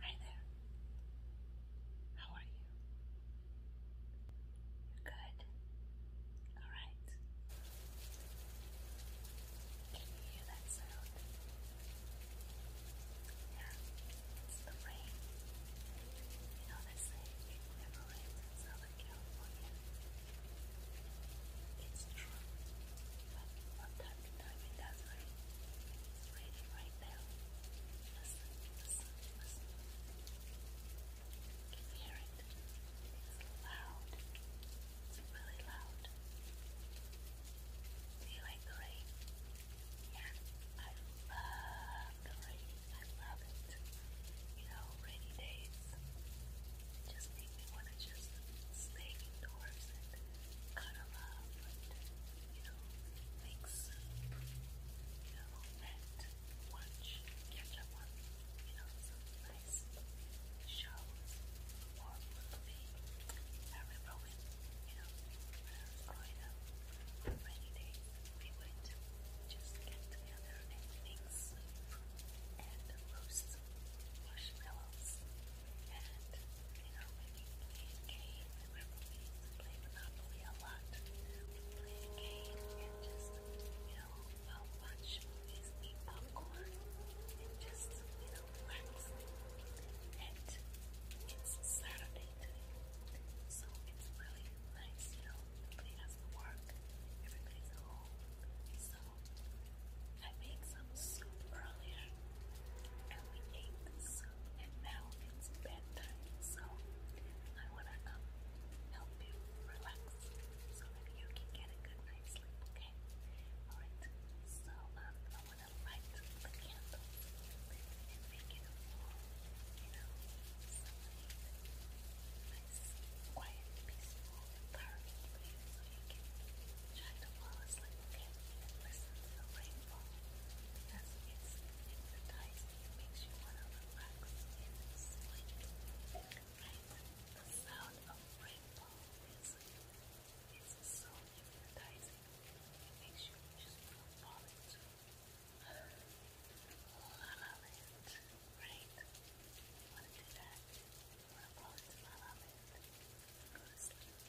Hi there. How are you? good. All right. Can you hear that sound? Yeah, it's the rain. You know they say it never California. It's true. One You hear it. It's loud. It's really loud. Do you like the rain? Yeah, I love the rain. I love it. You know, rainy days just make me want to just stay indoors and cuddle up you know, make you know, watch, catch up on, you know, some nice shows or movie. I remember when, you know, when I was growing on rainy days, we would just get together and and roast marshmallows. And, you know, when we play Monopoly a lot. We play a and just, you know, I'll watch movies, popcorn, and just, you know, relax. And it's Saturday today, so it's really nice, you know, nobody has to work, everybody's at home. So, I made some soup earlier, we ate and now it's bedtime, so I wanna help you relax so that you can get a good night's sleep, okay? Alright, so I wanna light the candle and make it a you know, sunlight, nice, quiet, peaceful environment so you can try to fall asleep, okay? listen to the rain because it's hypnotizing, it makes you want to relax and sleep. Right? The sound of rainbow music so hypnotizing, it makes you just fall into La La Land, right? You want to do that? want to fall into La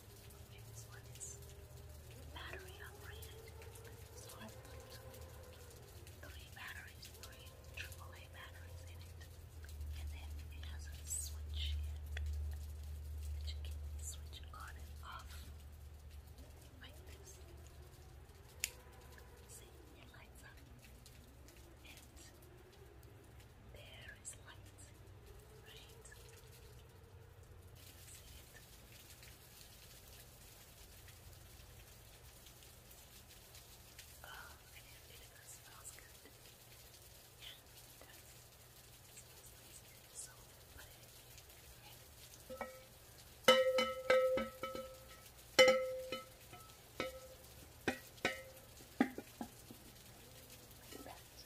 Okay, one battery operated. three batteries, three AAA batteries in it. And then it has a switch that you can switch on and off like this. See, it lights up. And there is light, Oh, and it vinegar smells good. Yeah, it does. It smells nice and so put it in right? Like that.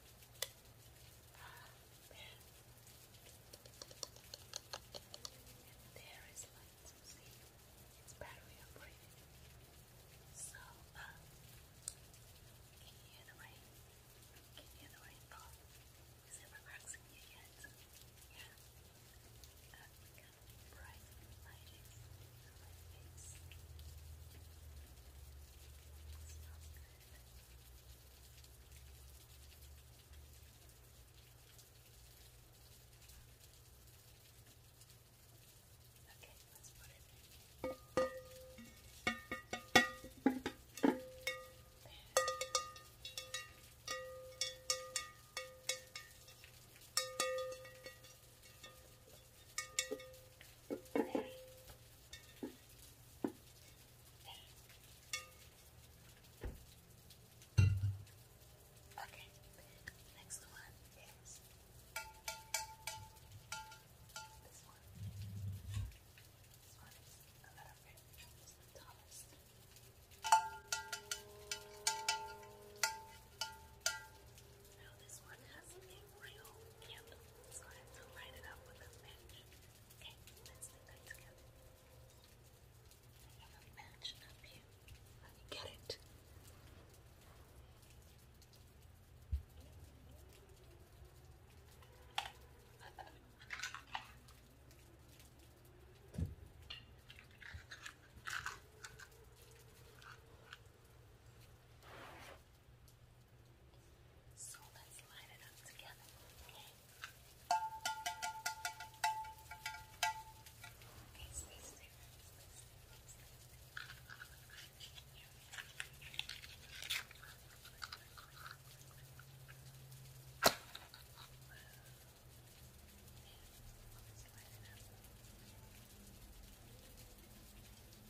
Man. And there is light, so see, it's battery operated. So, can you hear the rain? Can you hear the rainfall? Is it relaxing you yet? Yeah. bright the Okay, let's put it in. There. Okay, Okay, next one is this one. This one is a little bit, it's the tallest. It's now this one has a real candle, so I have to light it up with a match. Okay, let's do that together. I have a match up here. Let me get it. So let's line it up together, okay? Okay.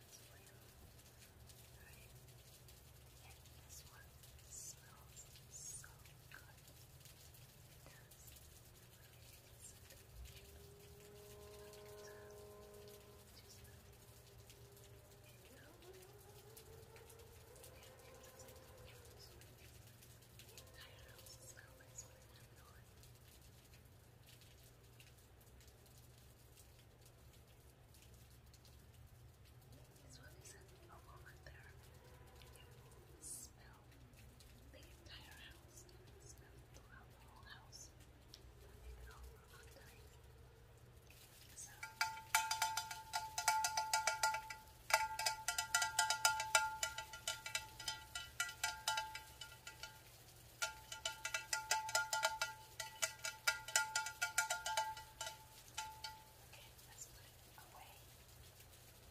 ones for you. Right? And this one smells so good. It does. It the entire house is going, so I don't know it. This one isn't a woman there. It smelled the entire house. It smelled throughout the whole house. But it all Okay, let's put it away.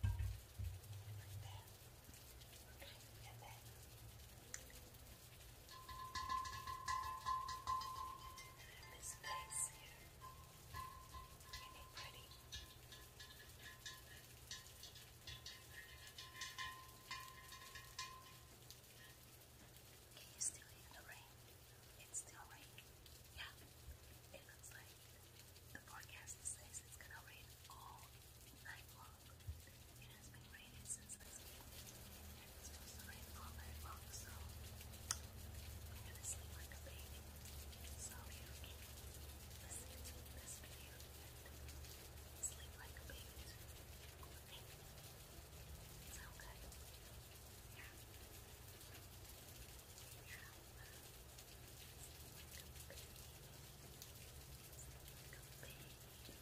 Right there. Okay, and then I have this place here. Isn't it pretty? Okay, can you still hear the rain? It's still raining. Yeah. It looks like the forecast says it's gonna rain all night long. It has been raining since this it's supposed to rain all night long, so I'm gonna sleep like a baby. So you can listen to this video and sleep like a baby so good. Yeah. Alright, so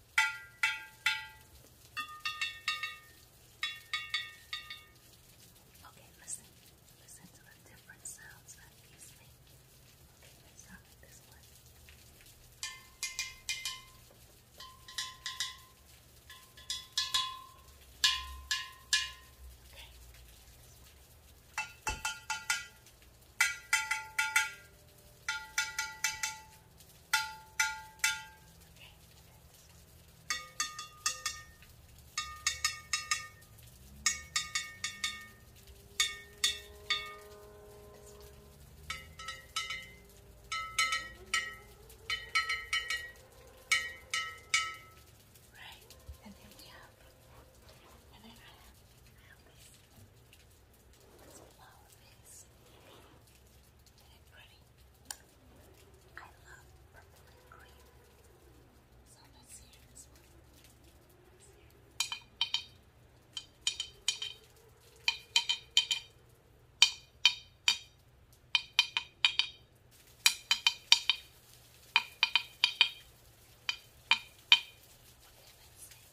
Okay, listen. Listen to the different sounds that these make. Okay, let's start with this one. Okay. Okay. Right, and then we have, and then I have, I have this. It's a Isn't it pretty? I love purple and green. So let's see this one.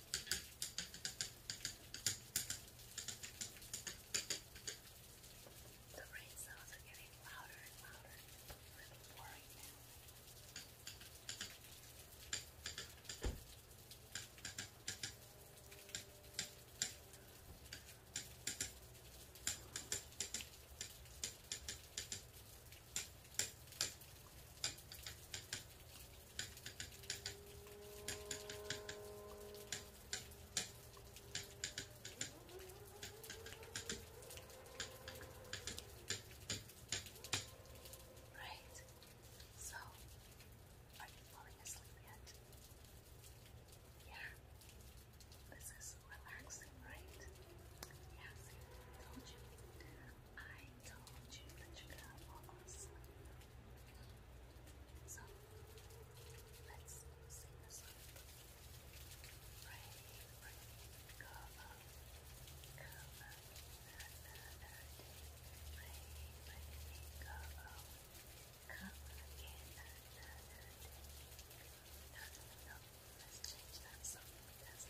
The rain sounds are getting louder and louder. It's really boring now. I Right. So, are you falling asleep yet? Yeah. This is relaxing, right? Yes. Told you. I told you that you got more awesome. So, let's sing a song. Rain, rain, cover, cover, another day. Rain, rain, cover, cover again, another day. No, no, no, let's change that song. That's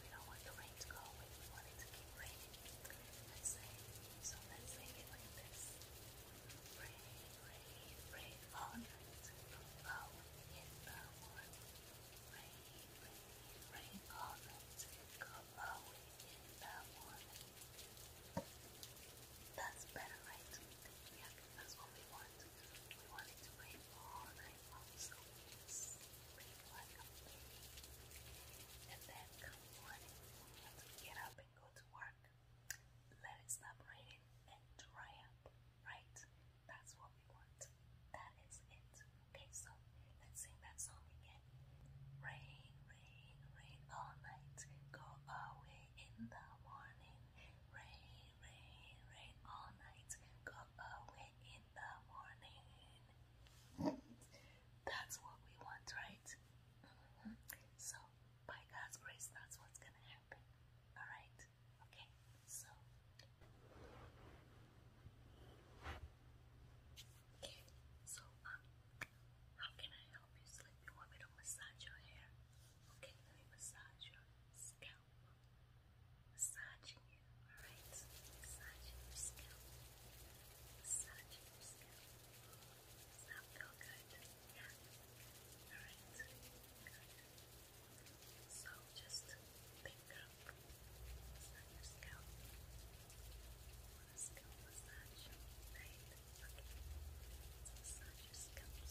we don't want the rain to go away. We want it to keep raining. Let's say, so let's make it like this. Rain, rain, rain all night. Blow in the morning. Rain, rain, rain all night. Blow in the morning. That's better, right? Yeah, that's what we want. We want it to rain all night long. So yes. And then come morning, we get up and go to work. Let it stop raining and dry up, right? That's what we want. That is it. Okay, so let's sing that song again. Rain, rain, rain all night. Go away in the morning. Rain, rain, rain all night. Go away in the morning. That's what we want, right? Mm-hmm. So, by God's grace, that's what's gonna happen. Alright? Okay, so. Okay, so, um, how can I help you sleep? You want me massage your hair? Okay, let me massage your scalp. Massage Alright, massage your scalp. Massage your scalp. Does that feel good? Yeah. Alright, So just pick up. Massage your scalp. Want a scalp massage? Right? Okay. massage your scalp you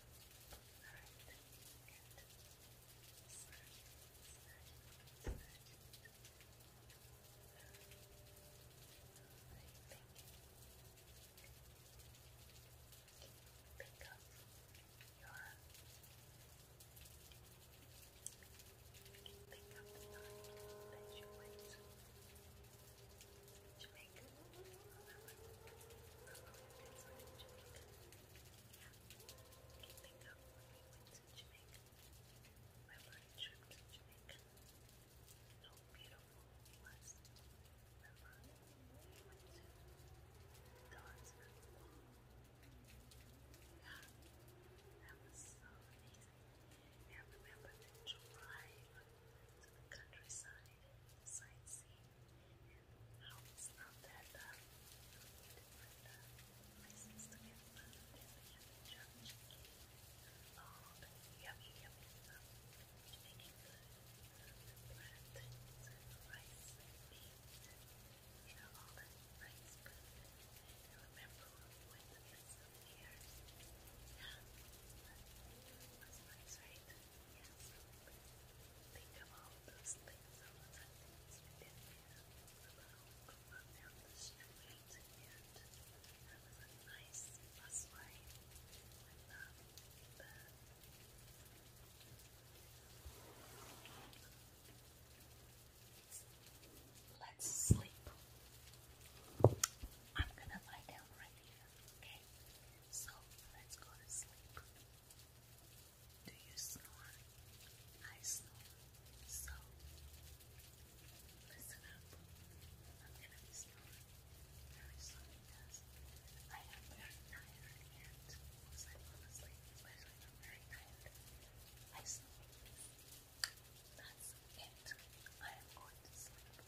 Pick up your pick up the knife that you went to. Jamaica. That's right, Jamaica. Yeah. Keeping up when we went to Jamaica. My first trip to Jamaica. How beautiful it was. Remember, we went to Don's Festival. Yeah, that was so amazing. And remember the drive to the countryside sightseeing and how it's that uh, different uh, food in the all the yummy yummy stuff making the plantains and rice and you know all that rice food I remember when we went yeah, but nice right? Think of all those things, all of the things you did there. Go the nice bus um, Let's sleep. I'm gonna lie down right here, okay? So let's go to sleep. Do you snore? I snore. So listen up. I'm gonna be snoring very because I am very tired and once I fall asleep, especially if I'm very tired, I snore. That's it. I am going to sleep.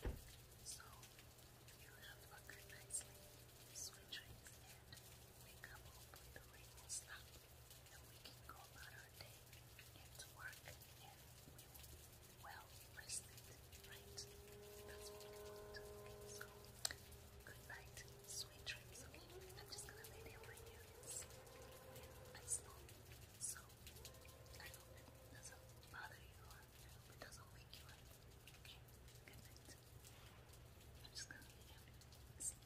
So you have conquered nicely sweet dreams and wake up hopefully the rain will and we can go about our day and work and we will well rested, right? That's what good night, sweet dreams. Okay, I'm just gonna lay down right here and So I hope it doesn't bother you I hope it doesn't wake you up. Okay, good night. I'm just gonna lay down and sleep.